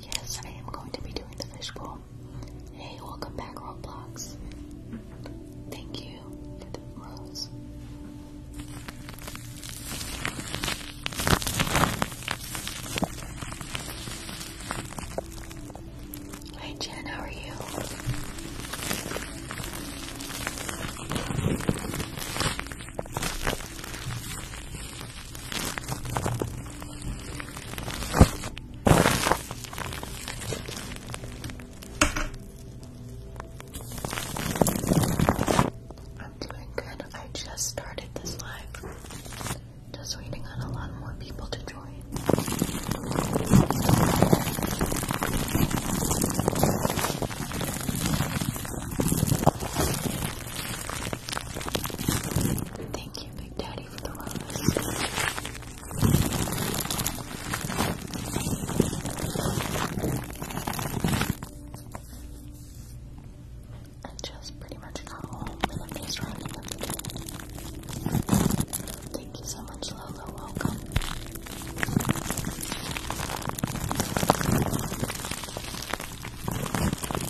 Yes, I am going to be doing the fish bowl. Hey, welcome back, Roblox. Thank you Hi Jen, how are you? I'm I just started this live. Just waiting on a lot more people to join. Thank you, Big Daddy. I just pretty much got home and the day. Thank you so much, Lola. Welcome.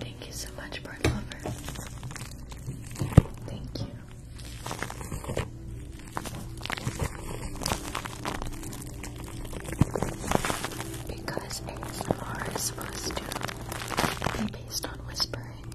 Thank you so much, Bird Lover. Thank you. Because ASMR is supposed to be based on whispering,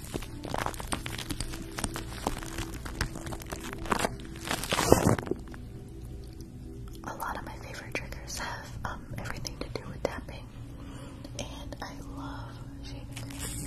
A lot of my favorite triggers have um, everything to do with tapping, and I love shaving.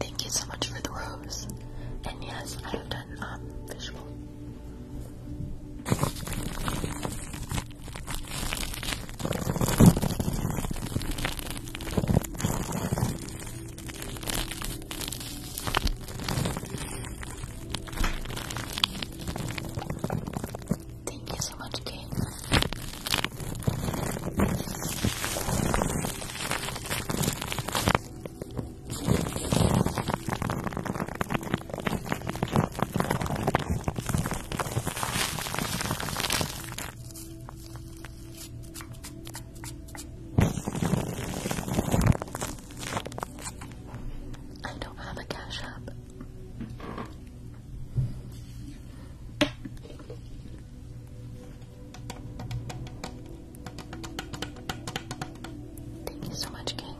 Thank you so much for the rose. And yes, I have done um, Thank you so much, Kate. I don't have a cash app. Thank you so much, King.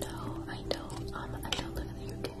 No, I don't. Um, I don't live in the UK.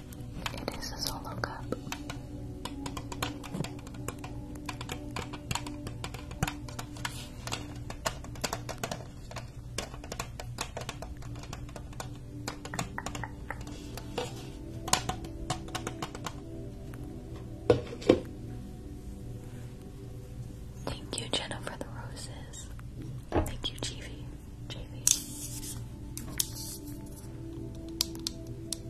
It is a solo cup. Thank you, Jenna, for the roses. Thank you, JV.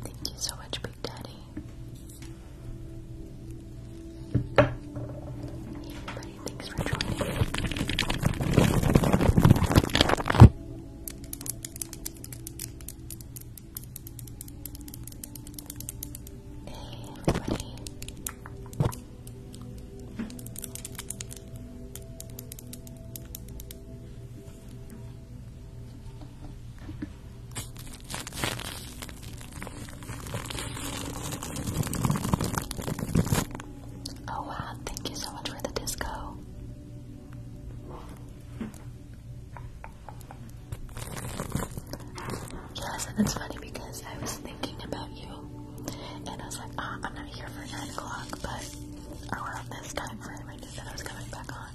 Thank you so much, Big Daddy. Hey everybody, thanks for joining. Hey everybody. Oh wow, thank you so much for the disco. Yes, and it's funny because I was thinking about you, and I was like, ah, I'm not here for 9 o'clock, but around this time frame, I knew that I was coming back on.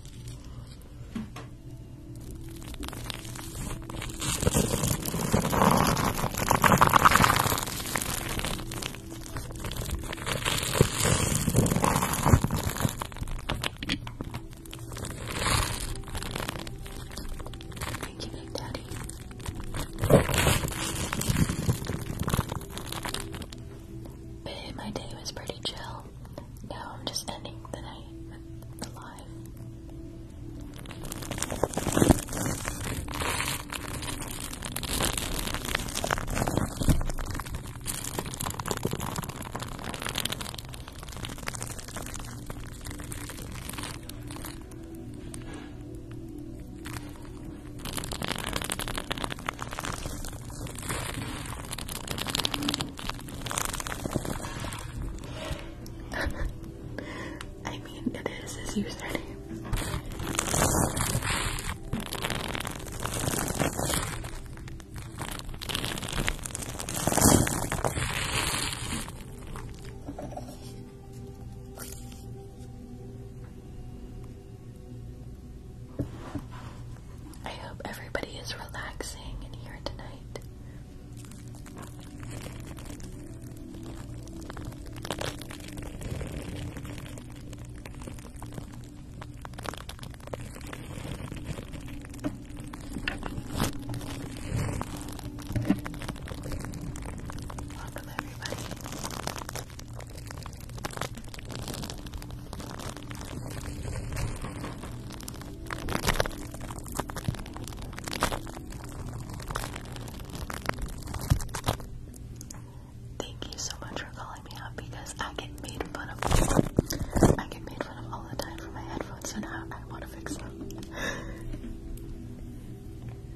Thank you, Big Daddy. Babe, my day was pretty chill. Now I'm just ending the night with I mean, it is his username. I hope everybody is relaxing in here tonight. Thank you so much for calling me out because I get made fun of. I get made fun of all the time for my headphones, so now I want to fix them.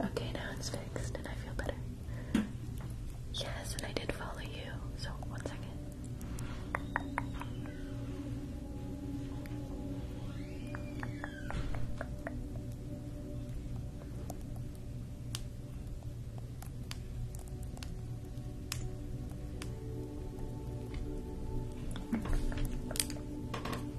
Okay, now it's fixed and I feel better. Yes, and I did follow you. So, one second.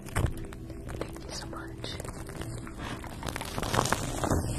Thank you so much. There we go.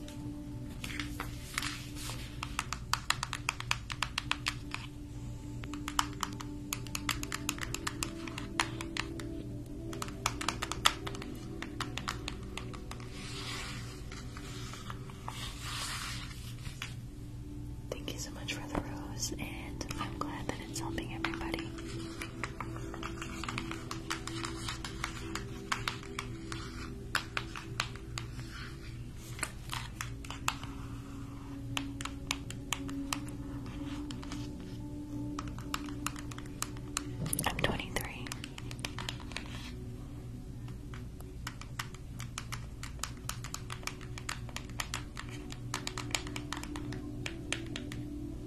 Thank you so much for the rose, and I'm glad that it's helping everybody. I'm 23.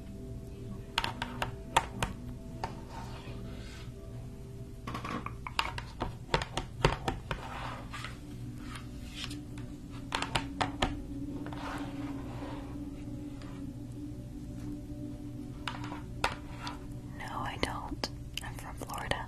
No, I don't. I'm from Florida.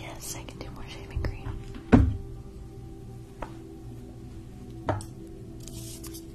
Yes, I can do more shaving cream.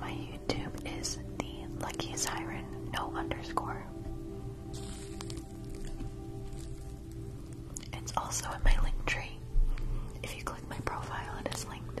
My YouTube is the Lucky Siren, no underscore. It's also in my link tree. If you click my profile, it is linked.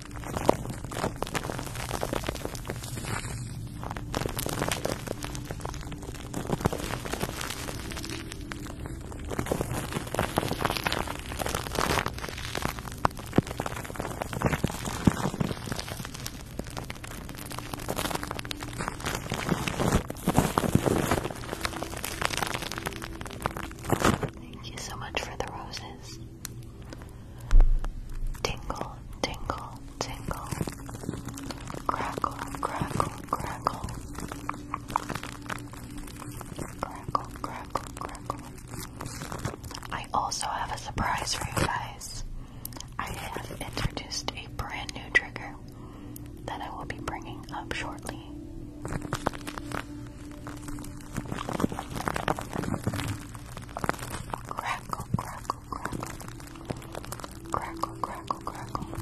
Thank you so much for the roses. Tingle, tingle, tingle. Crackle, crackle, crackle. Crackle, crackle, crackle. I also have a surprise for you guys. I have introduced a brand new trigger that I will be bringing up shortly. Crackle, crackle, crackle. Crackle, crackle, crackle. Crackle,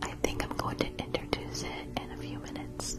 I think I'm going to introduce it in a few minutes.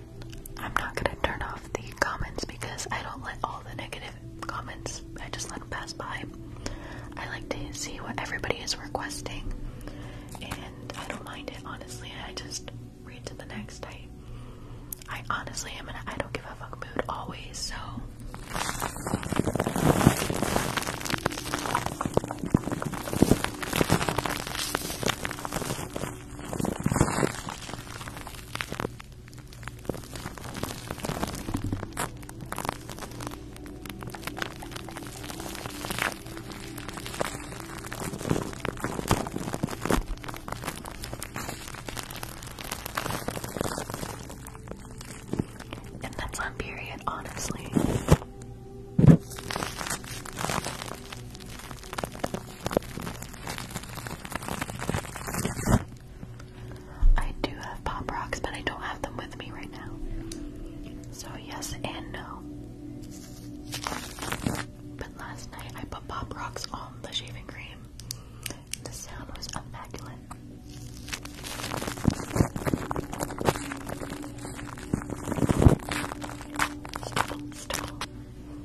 I'm not gonna turn off the comments because I don't let all the negative comments, I just let them pass by. I like to see what everybody is requesting, and I don't mind it, honestly. I just read to the next. I, I honestly am in a I don't give a fuck mood always, so. And that's on period, honestly. I do have pop rocks, but I don't have them with me right now. So, yes and no. But last night I put pop rocks on the shaving cream. The sound was immaculate. Stubble,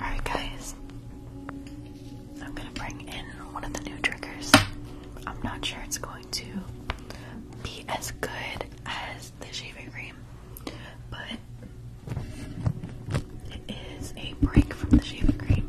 Alright, guys, I'm gonna bring in one of the new triggers. I'm not sure it's going to be as good as the shaving cream, but it is a break from the shaving cream.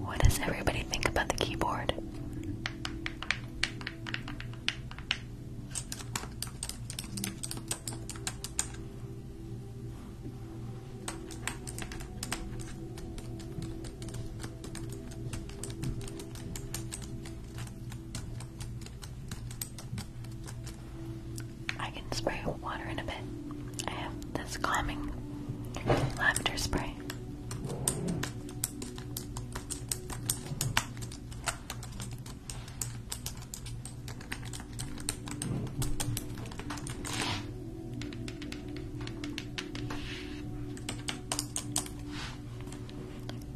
What does everybody think about the keyboard? I can spray water in a bit. I have this calming lavender spray.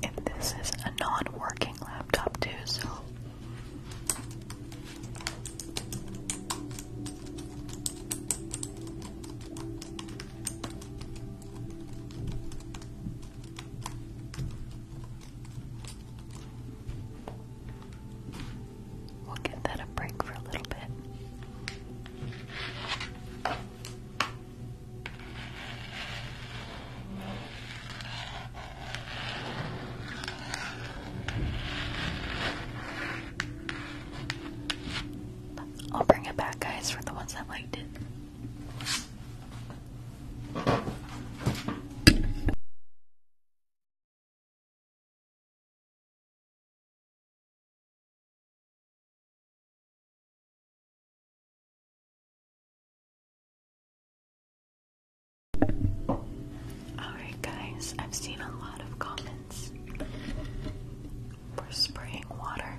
And this is a non-working laptop too, so We'll give that a break for a little bit. I'll bring it back, guys, for the ones that liked it. Alright, guys, I've seen a lot of comments for spraying water.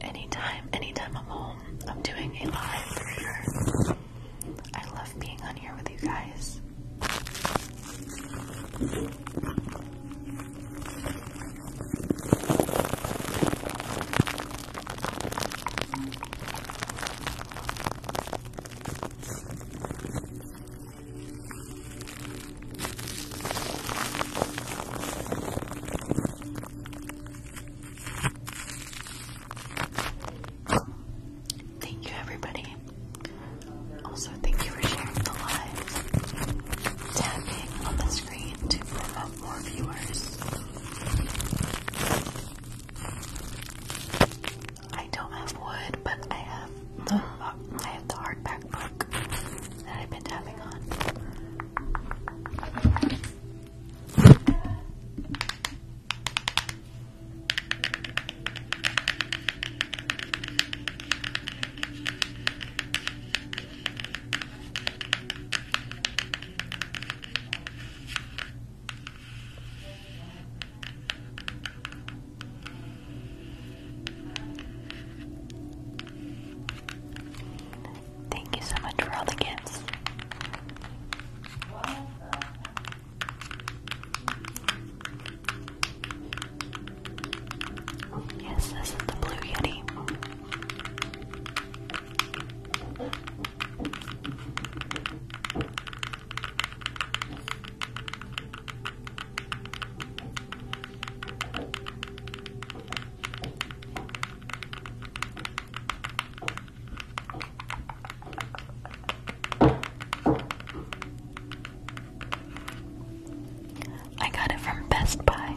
Anytime, anytime I'm home, I'm doing a live reader. I love being on here with you guys. Thank you, everybody. Also, thank you for sharing the live, tapping on the screen to promote more viewers. I don't have wood, but I have the I have the hardback book that I've been tapping on. Thank you so much for all the gifts. Yes, this is the Blue Yeti. I got it from Best Buy.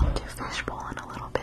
I'll do fishbowl in a little bit.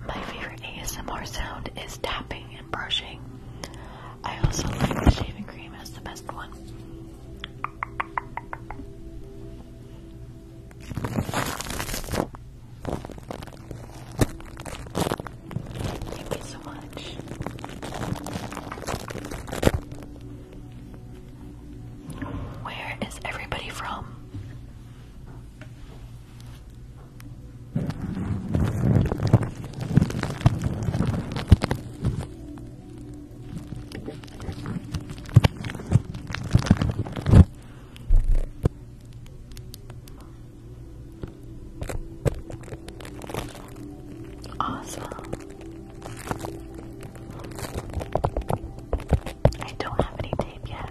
My favorite ASMR sound is tapping and brushing. I also like the shaving cream as the best one. Thank you so much. Where is everybody from? Awesome. I don't have any tape yet.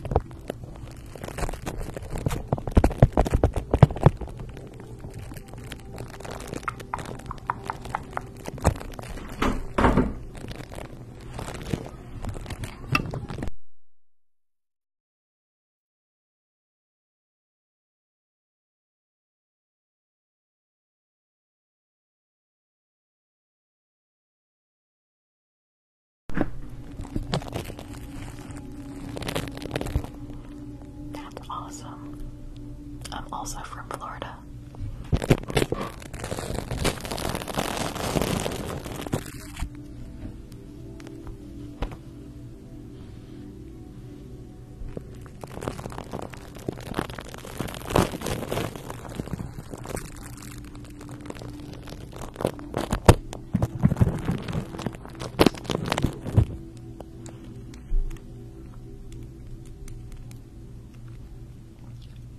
That's awesome. I'm also from Florida.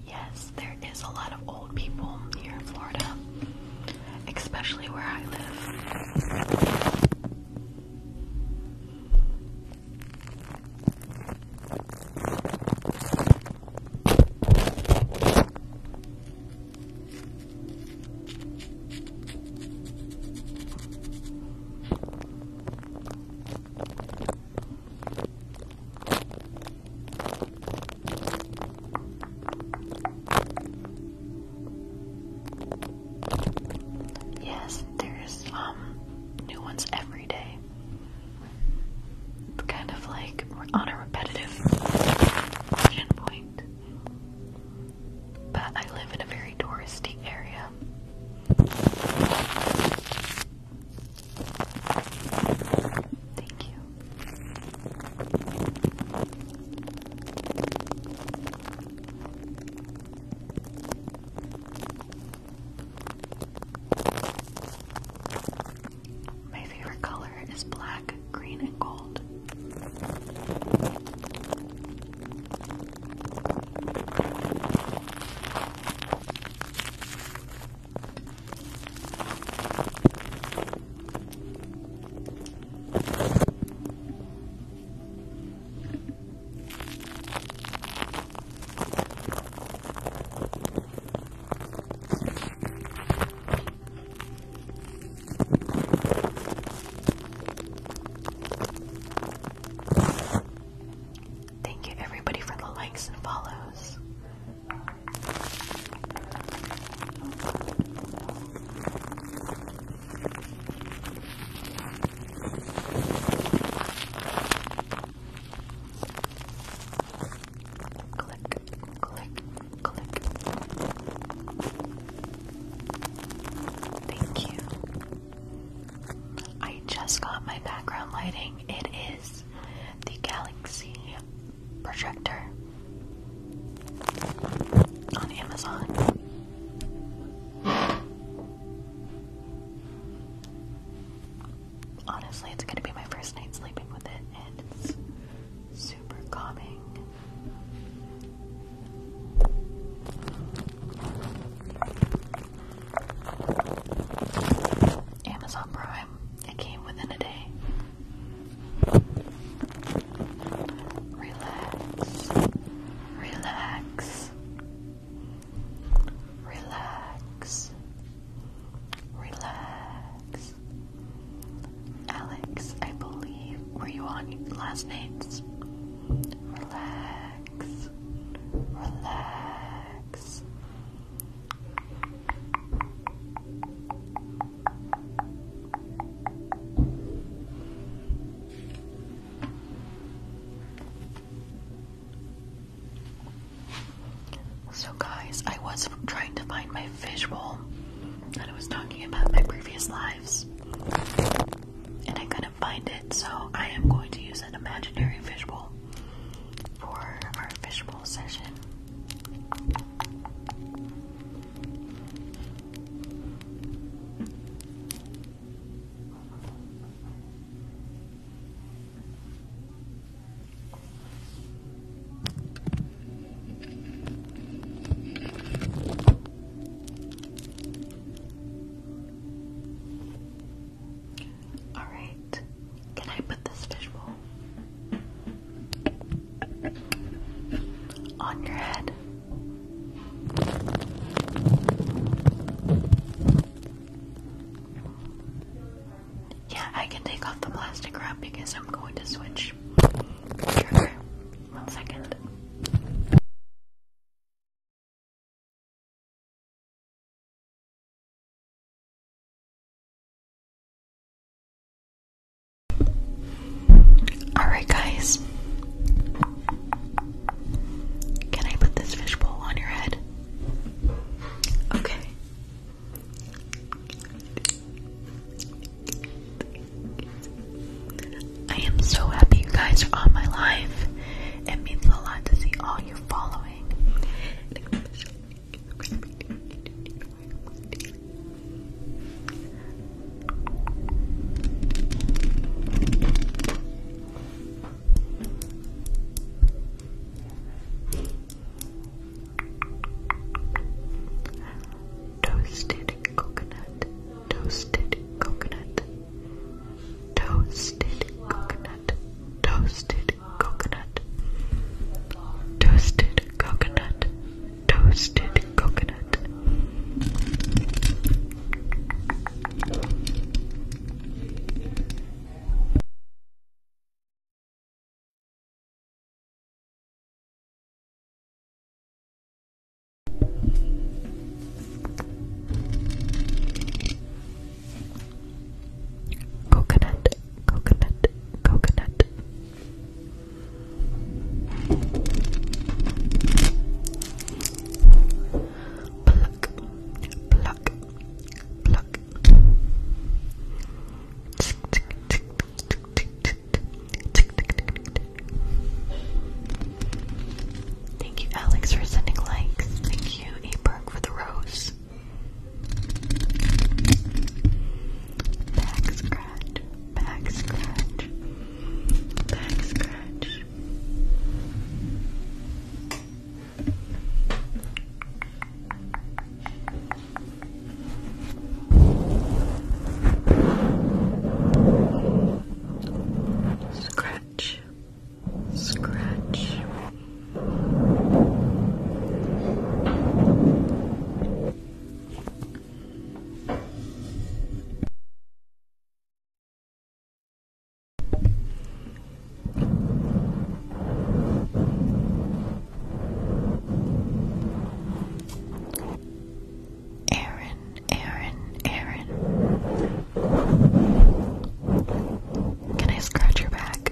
Yes, there is a lot of old people here in Florida especially where I live. Yes, there's um new ones every day. It's kind of like we're on a repetitive point. But I live in a very touristy area. Thank you. My favorite color is black, green, and gold. Thank you everybody for the likes and follows. Click, click, click. Thank you. I just got my background lighting. It is the Galaxy projector on Amazon. Honestly, it's gonna be my first night sleeping with it, and it's super calming. Amazon Prime. It came within a day. Relax. Relax. Relax. Relax. Alex, I believe, were you on last nights? Relax. Relax. So, guys, I was trying to find my visual that I was talking about my previous lives, and I couldn't find it, so I am going to use an imaginary visual for our visual session. All right. Can I put this fishbowl? on your head. Yeah, I can take off the plastic wrap because I'm going to switch One second. Alright, guys. Can I put this fishbowl on your head? Okay. I am so happy you guys are on my live. It means a lot to see all you following. Toasted coconut, toasted coconut, toasted coconut, toasted coconut, toasted coconut, toasted coconut. Coconut, coconut, coconut, Pluck, pluck, pluck. Thank you, Alex, for sending likes. Thank you, Aberg, for the rose. Back scratch back scratch, back scratch. Scratch, scratch. Scratch, Aaron, Aaron, Aaron. Can I scratch your back?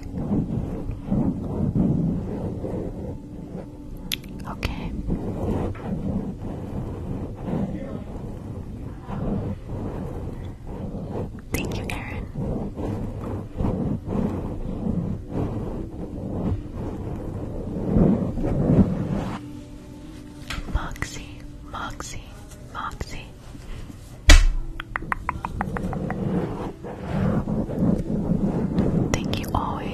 Okay. Thank you, Aaron. Moxie, Moxie, Moxie. Thank you, always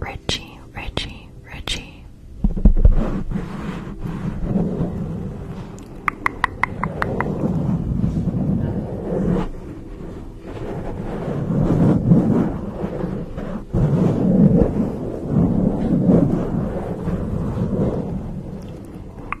Richie, Richie, Richie.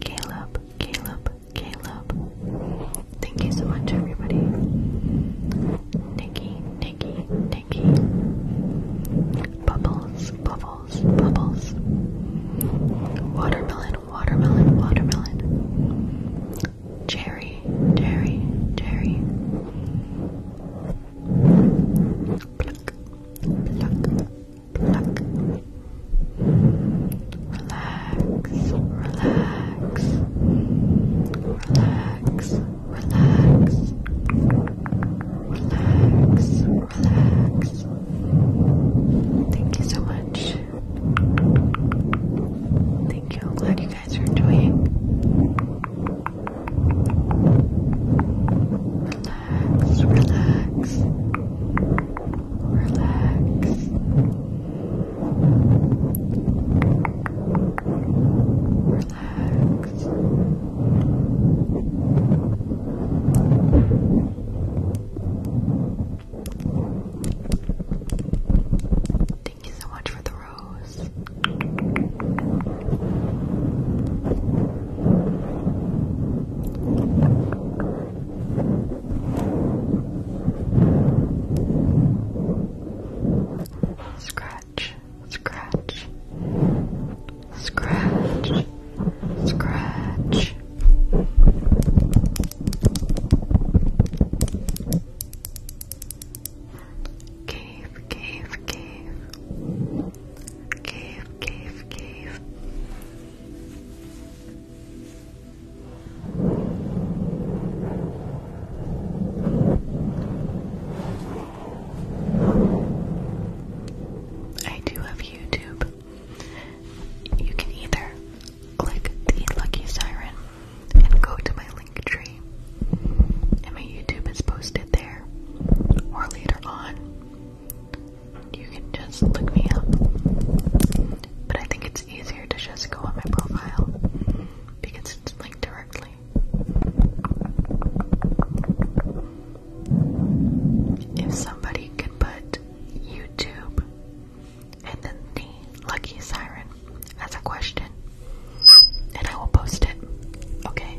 Caleb, Caleb, Caleb. Thank you so much, everybody. Nikki, Nikki, Nikki. Bubbles, bubbles, bubbles. Watermelon, watermelon, watermelon. Cherry, cherry, cherry. Pluck, pluck, pluck. Relax, relax, relax, relax, relax, relax. Thank you so much. Thank you. I'm glad you guys are enjoying relax, relax, relax, relax. Thank you so much for the rose. Scratch, scratch, scratch, scratch. Cave, cave, cave cave, cave, cave. I do have YouTube. You can either click the lucky siren and go to my link tree, and my YouTube is posted there, or later on you can just look me up. But I think it's easier to just go on my profile because it's linked directly. If somebody could put YouTube and then the lucky siren as a question, and I will post it. Okay?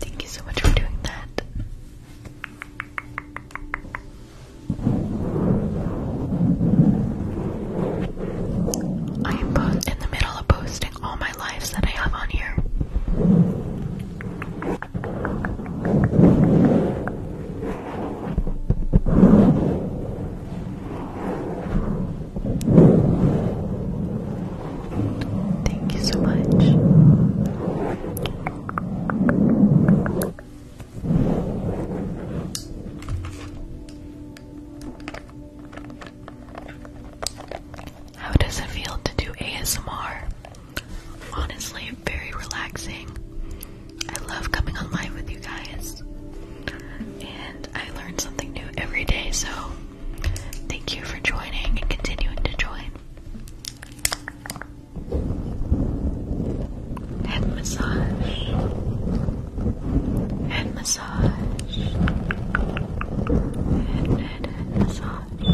Thank you so much for doing that. I am in the middle of posting all my lives that I have on here. Thank you so much. How does it feel to do ASMR? Honestly, very relaxing. I love coming on with you guys. And I learn something new every day, so Thank you for joining and continuing to join. Head massage. Head massage. Head, head, head massage.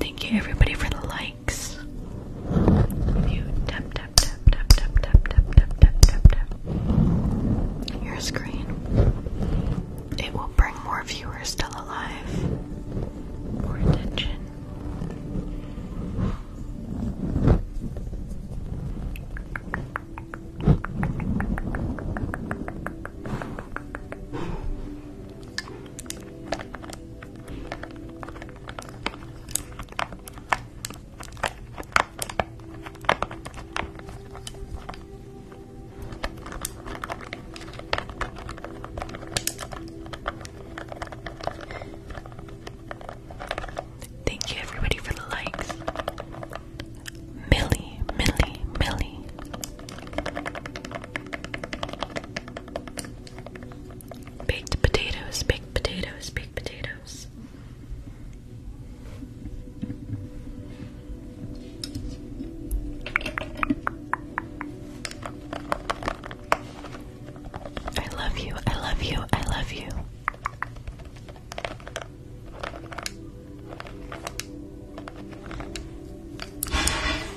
Thank you everybody for the like you tap tap tap tap tap tap tap tap tap your screen, it will bring more viewers still alive, more attention. Thank you everybody for the likes. Millie, Millie, Millie. Baked potatoes, baked potatoes, baked potatoes. I love you, I love you, I love you.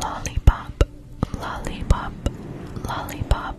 Lollipop, lollipop, lollipop.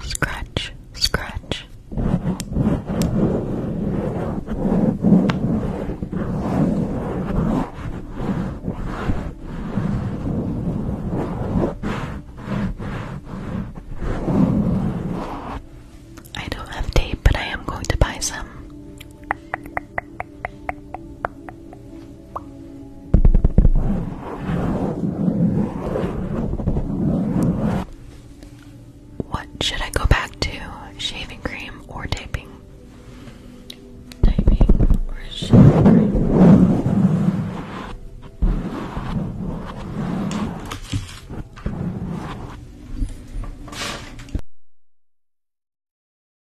Scratch, scratch. I don't have tape, but I am going to buy some. What should I go back to? Shaving cream or taping? Taping or shaving cream?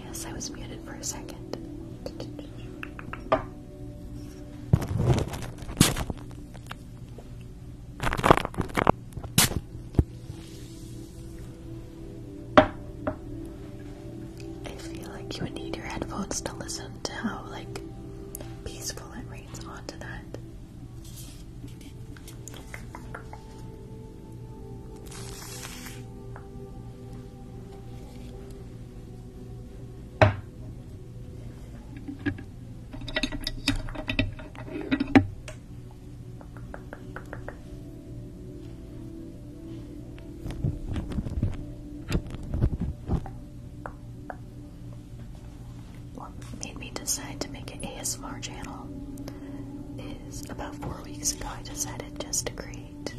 Yes, I was muted for a second. I feel like you would need your headphones to listen and how like peaceful it rains onto that what made me decide to make an ASMR channel is about four weeks ago I decided just to create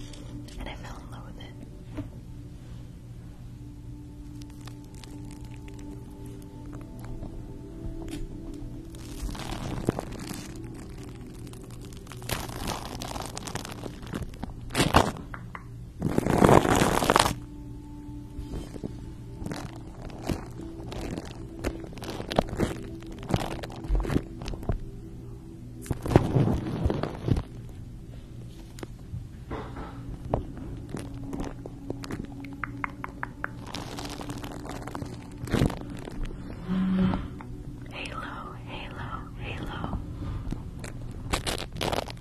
and I fell in love with it. Halo, halo, halo.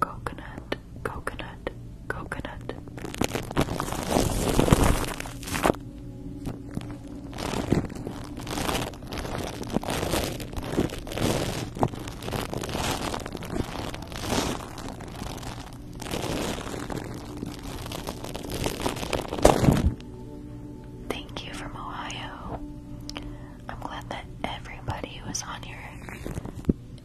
Coconut, coconut, coconut. Thank you from Ohio. I'm glad that everybody was on here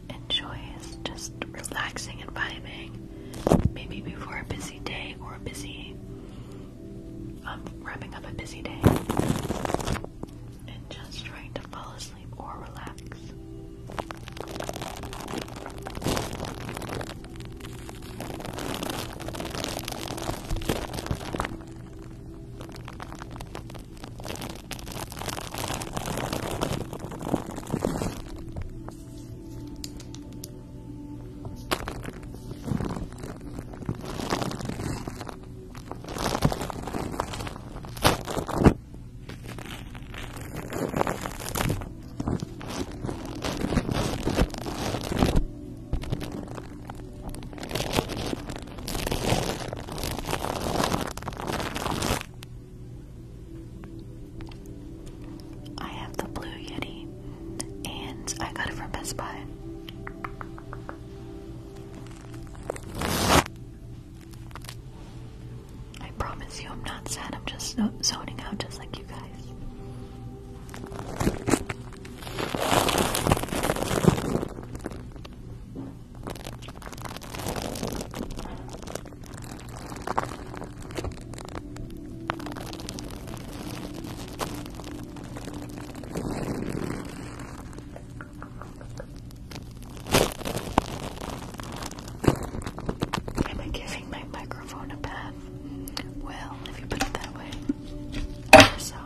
enjoys just relaxing and vibing. Maybe before a busy day or a busy, I'm um, wrapping up a busy day, and just trying to fall asleep sleep or relax. I have the Blue Yeti and I got it from Best Buy. I promise you, I'm not sad. I'm just zoning out, just like you guys. Am I giving my microphone a bath? Well, if you put it that way. So.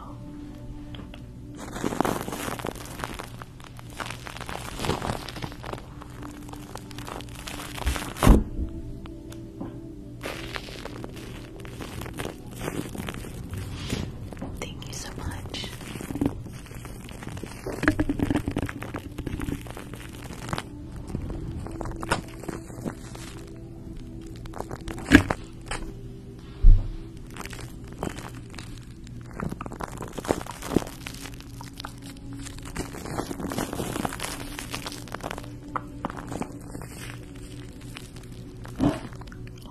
Thank you so much.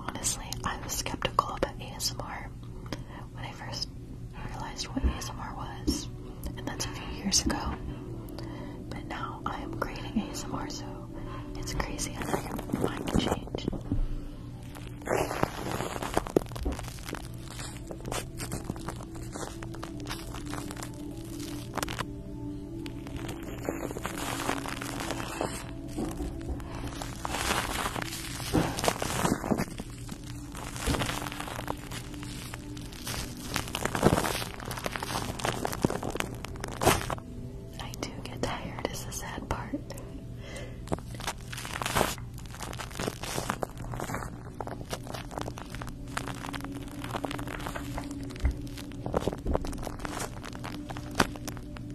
Honestly, I was skeptical about ASMR when I first realized what ASMR was, and that's a few years ago. But now I am creating ASMR, so it's crazy how your mind can I do get tired, is the sad part.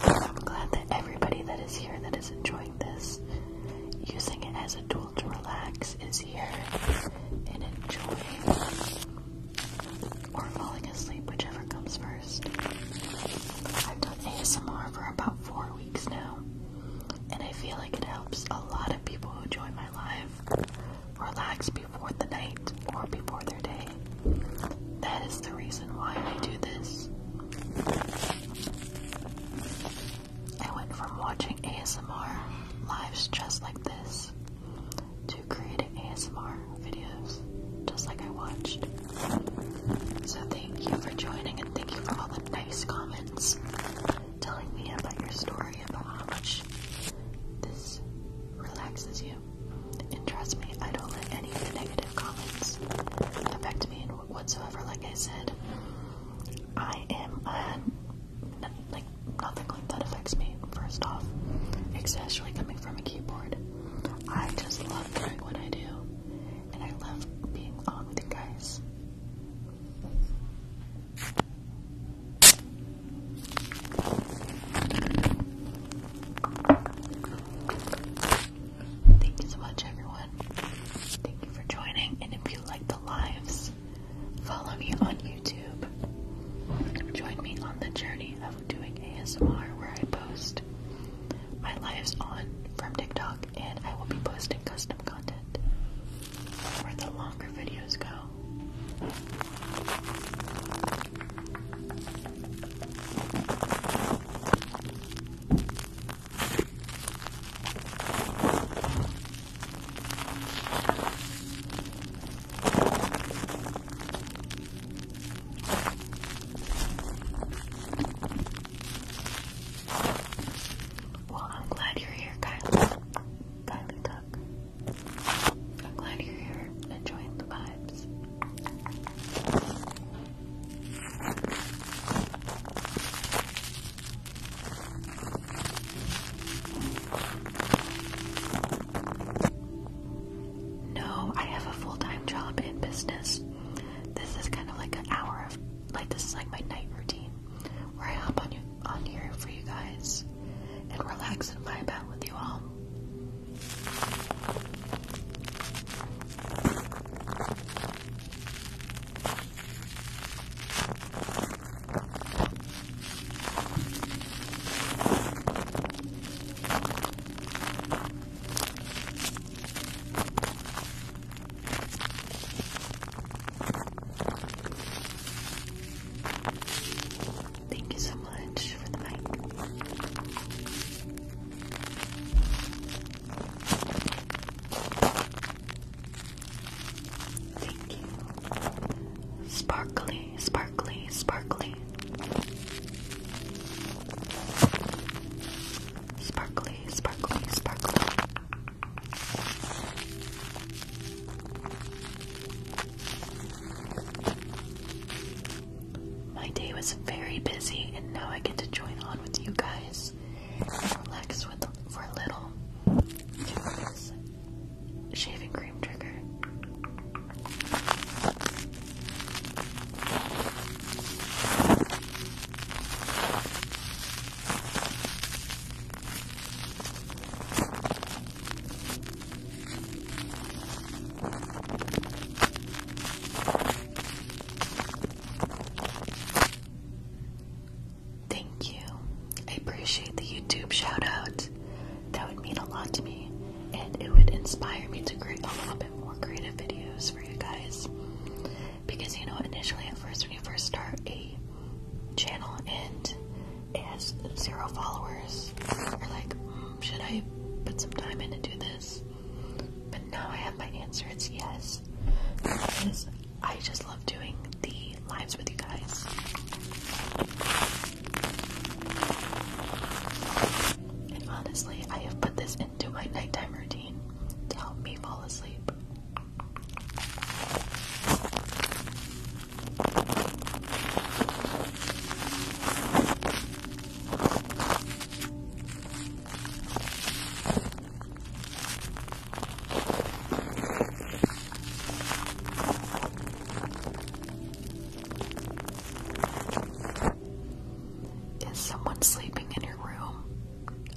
I'm glad that everybody that is here that is enjoying this, using it as a tool to relax, is here and enjoying or falling asleep, whichever comes first. I've done ASMR for about four weeks now, and I feel like it helps a lot of people who join my life relax before the night or before their day. That is the reason why I do this. I went from watching ASMR lives just like this to creating ASMR videos just like I watched. So thank you for joining and thank you for all the nice comments telling me about your story about how much this relaxes you. And trust me, I don't let any of the negative comments affect me whatsoever. Like I said, I am a like nothing like that affects me. First off, especially coming from a keyboard, I just love doing what I do, and I love being on with you guys. Thank you so much, everyone. Thank you for joining. And if you like the lives, follow me on YouTube. Join me on the journey of doing ASMR where I post my lives on from TikTok and I will be posting custom content where the longer videos go. Well, I'm glad you're here, Kyle. Kylie Tuck. I'm glad you're here enjoying the vibes. No, I have a full-time job in business. This is kind of like an hour of like this is like my night routine where I hop on on here for you guys and relax and vibe out with you all. Thank you so much for the mic. Thank you. Sparkly, sparkly, sparkly. Sparkly, sparkly, sparkly. My day was very busy, and now I get to join on with you guys and relax with for a little. Shaving cream trigger. Thank you. I appreciate the YouTube shout out. That would mean a lot to me, and it would inspire me to create a little bit more creative videos for you guys. Because you know, initially at first, when you first start a channel and has zero followers. are like, mm, should I put some time in to do this? But now I have my answer. It's yes. Because I just love doing the lives with you guys. And honestly, I have put this into my nighttime routine to help me fall asleep. Is someone sleeping in your room?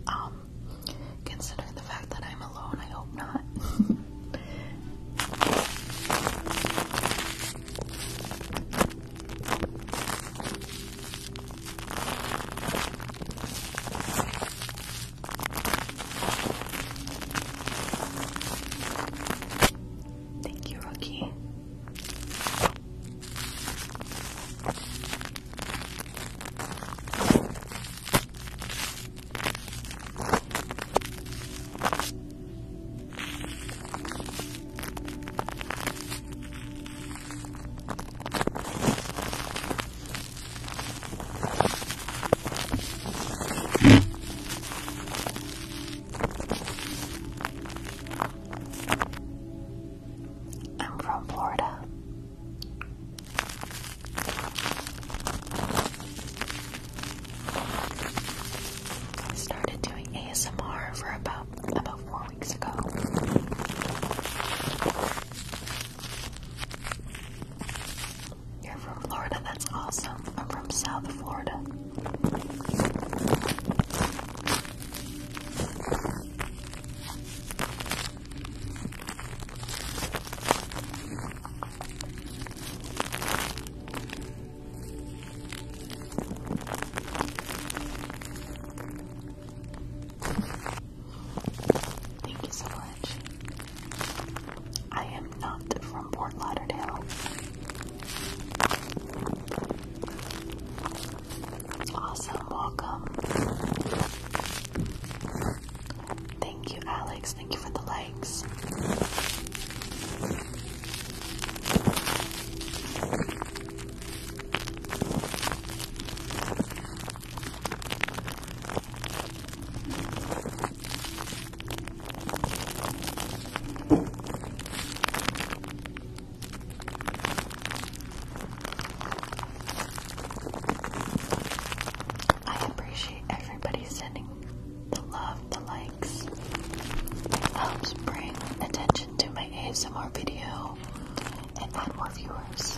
Um, Considering the fact that I'm alone, I hope not. Thank you, Rookie. I'm from Florida. I started doing ASMR for about about four weeks ago. You're from Florida, that's awesome. I'm from South Florida. Thank you so much. I am not from Port Lauderdale. Awesome, welcome. Thank you, Alex. Thank you for the likes. I appreciate everybody sending the love, the likes. It helps bring attention to my ASMR video and add more viewers.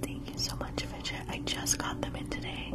Thank you so much, Fidget. I just got them in today.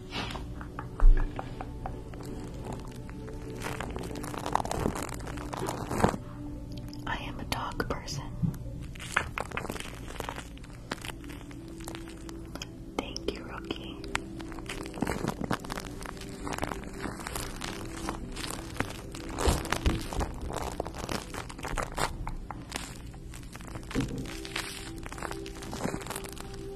I am a dog person. Thank you, Rookie.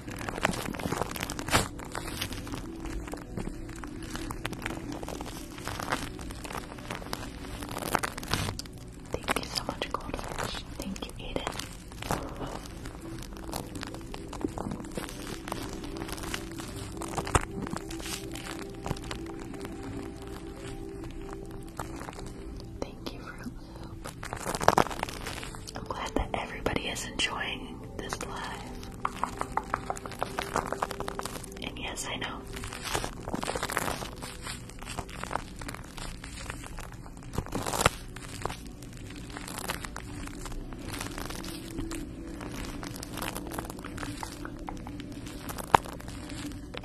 Thank you so much, Goldfish. Thank you, Eden. Thank you, Fruit I'm glad that everybody is enjoying this live. And yes, I know.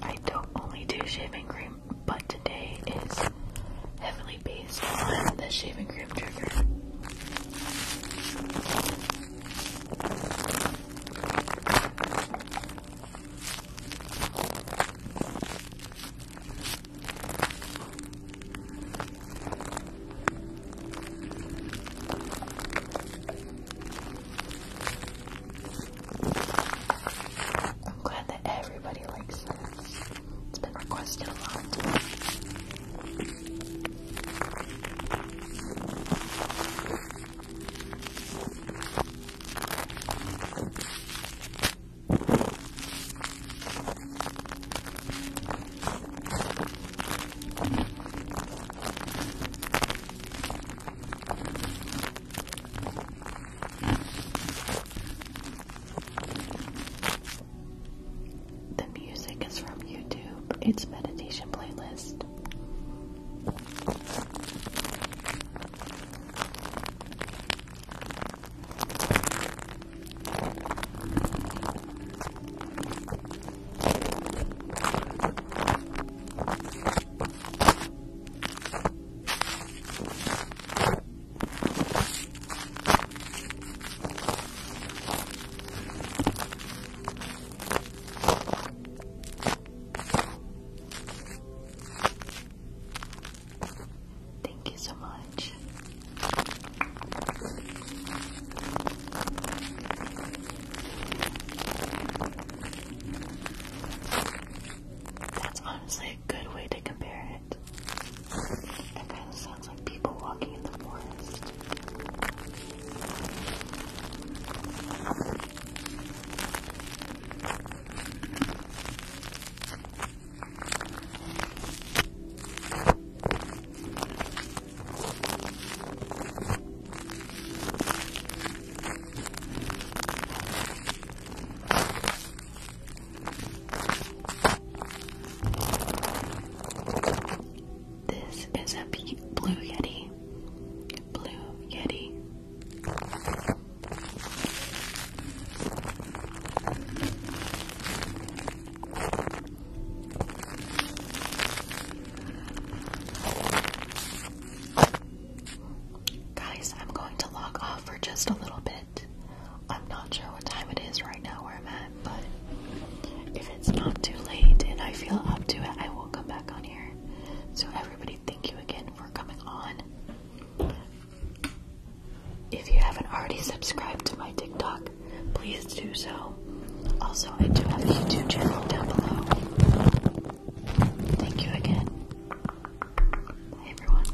I don't only do shaving cream, but today is heavily based on the shaving cream trigger. I'm glad that everybody likes this. It's been requested a lot. The music is from YouTube, it's meditation playlist. Thank you so much. That's honestly a good way to compare it. That kind of sounds like people walking in the forest. This is a blue yeti. Blue yeti. Guys, I'm going to log off for just a little bit. I'm not sure what time it is right now where I'm at, but if it's not too late and I feel up to it, I will come back on here. So, everybody, thank you again for coming on. If you haven't already subscribed to my TikTok, please do so. Also, I do have a YouTube channel down below. Thank you again. Bye, everyone.